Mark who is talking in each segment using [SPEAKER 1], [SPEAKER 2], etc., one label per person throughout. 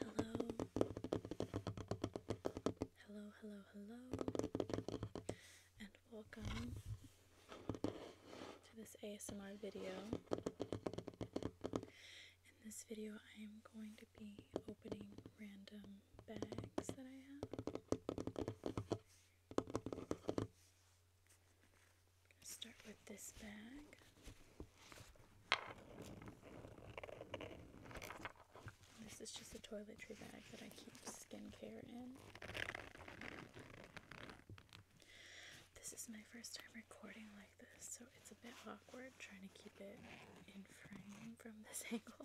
[SPEAKER 1] Hello. Hello, hello, hello. And welcome to this ASMR video. In this video, I am going to be opening random bags that I have. start with this bag. This is just a toiletry bag that I keep skincare in. This is my first time recording like this, so it's a bit awkward trying to keep it in frame from this angle.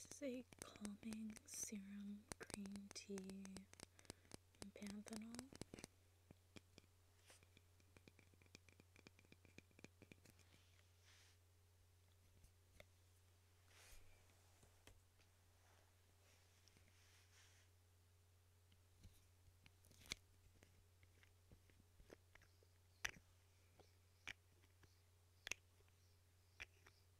[SPEAKER 1] This is a calming serum green tea and panthenol.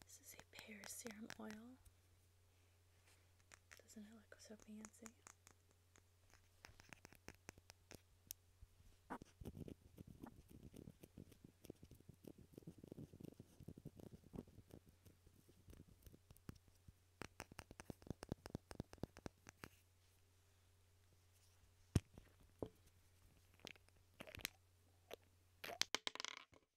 [SPEAKER 1] This is a pear serum oil. Doesn't it look so fancy?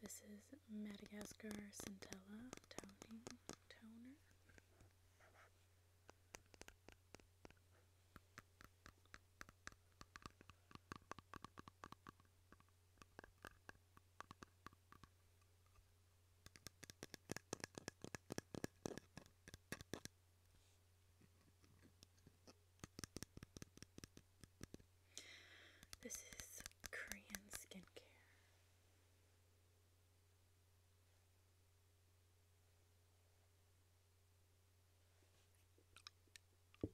[SPEAKER 1] This is Madagascar Centella toning toner. This is Korean skincare.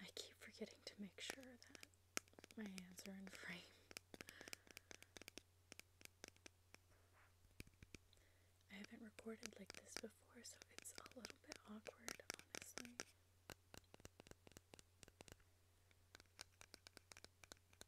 [SPEAKER 1] I keep forgetting to make sure that my hands are in frame. I haven't recorded like this before, so it's a little bit awkward, honestly.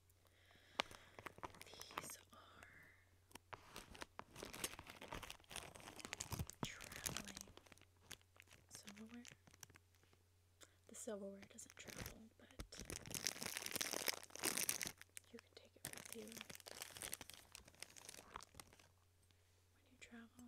[SPEAKER 1] These are traveling silverware. The silverware doesn't travel, but you can take it with you when you travel.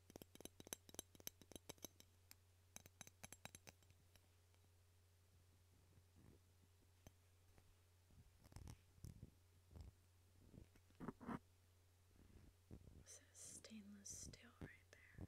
[SPEAKER 1] It says stainless steel right there.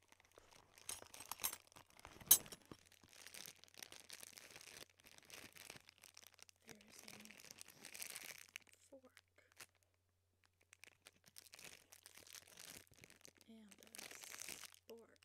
[SPEAKER 1] There is a fork and a spork.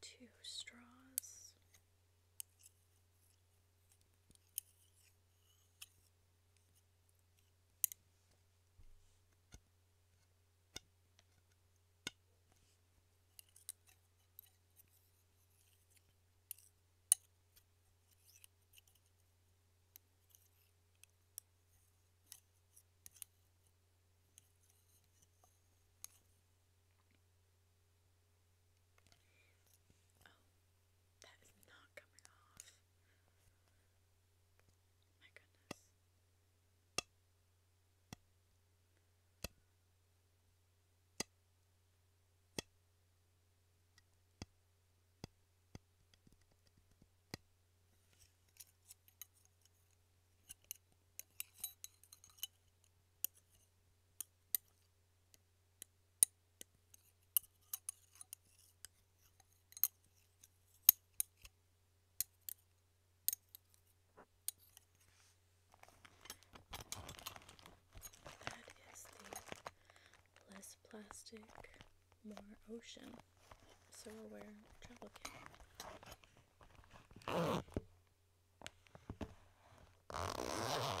[SPEAKER 1] two straws. Oh, that is not coming off. My goodness. That is the less plastic, more ocean. So aware travel kit. That's super loud.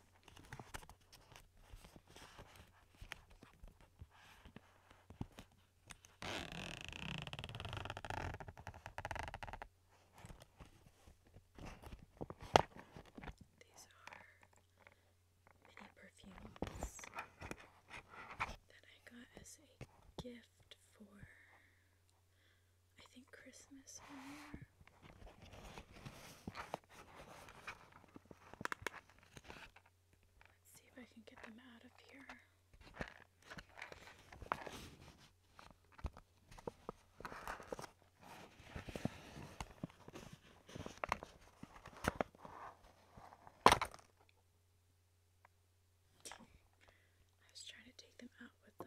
[SPEAKER 1] These are mini perfumes that I got as a gift for I think Christmas Let's see if I can get them out of here. I was trying to take them out with the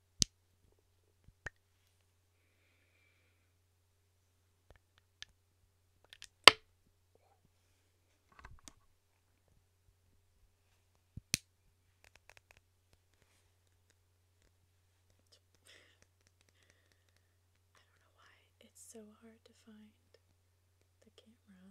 [SPEAKER 1] I don't know why it's so hard to find the camera.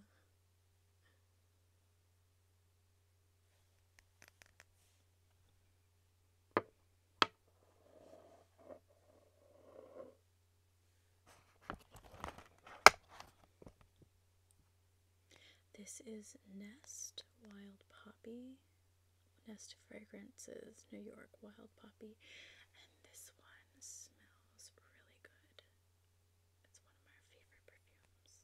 [SPEAKER 1] This is Nest Wild Poppy, Nest Fragrances New York Wild Poppy, and this one smells really good. It's one of my favorite perfumes.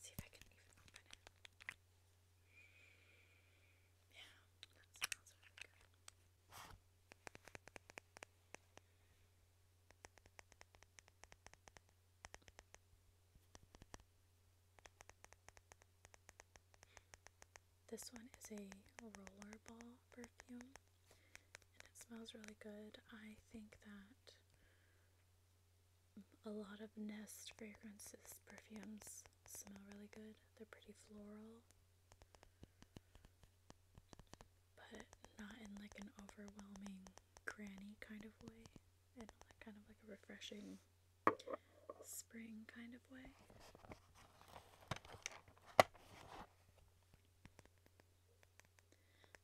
[SPEAKER 1] See if I can even open it. Yeah, that smells really good. This one is a rollerball perfume and it smells really good. I think that a lot of Nest fragrances perfumes smell really good. They're pretty floral, but not in like an overwhelming granny kind of way, and kind of like a refreshing spring kind of.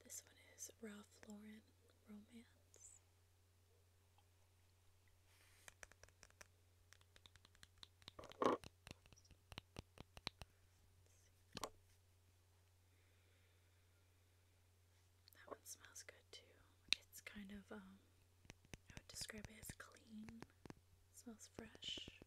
[SPEAKER 1] This one is Ralph Lauren Romance. That one smells good too. It's kind of um, I would describe it as clean. smells fresh.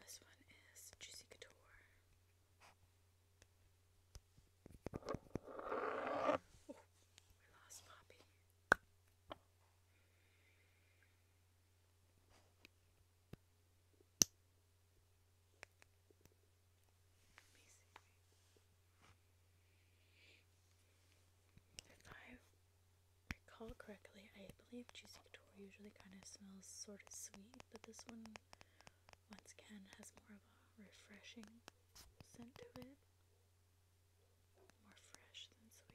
[SPEAKER 1] This one is Juicy Couture. we lost Poppy. Amazing. If I recall correctly, I believe Juicy Couture usually kind of smells sort of sweet, but this one, once again, has more of a refreshing scent to it. More fresh than sweet.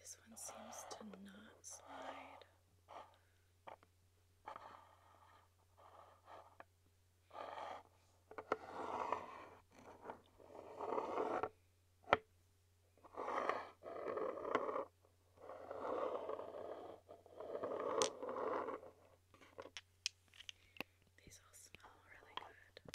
[SPEAKER 1] This one seems to not slide. These all smell really good.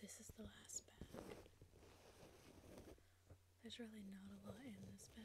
[SPEAKER 1] This is the last bag. There's really not a lot in this bag.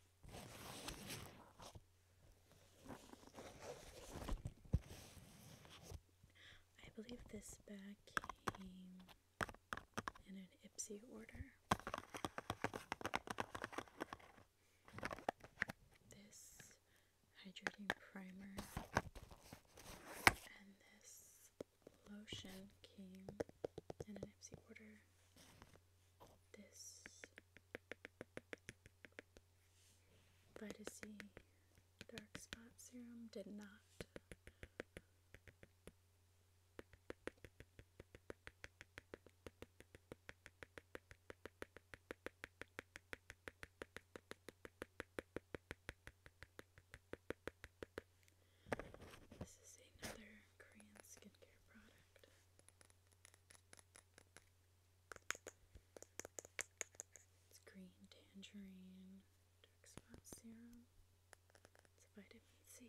[SPEAKER 1] I believe this bag came in an Ipsy order. This hydrating primer and this lotion came in an Ipsy order this Vitacy Dark Spot Serum did not. This is another Korean skincare product. It's green tangerine dark spot serum. It's vitamin C.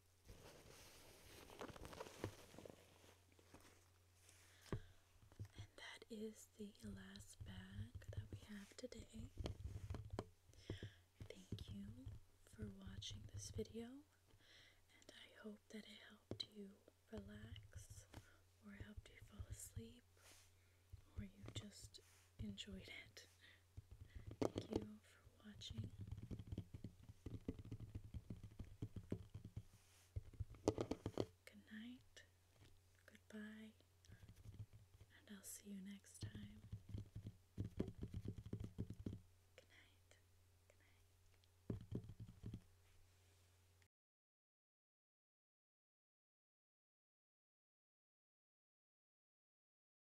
[SPEAKER 1] And that is the last bag that we have today. Thank you for watching this video, and I hope that it helped you relax, or helped you fall asleep, or you just enjoyed it. Thank you for watching. Good night, goodbye, and I'll see you next time. Good night, good night.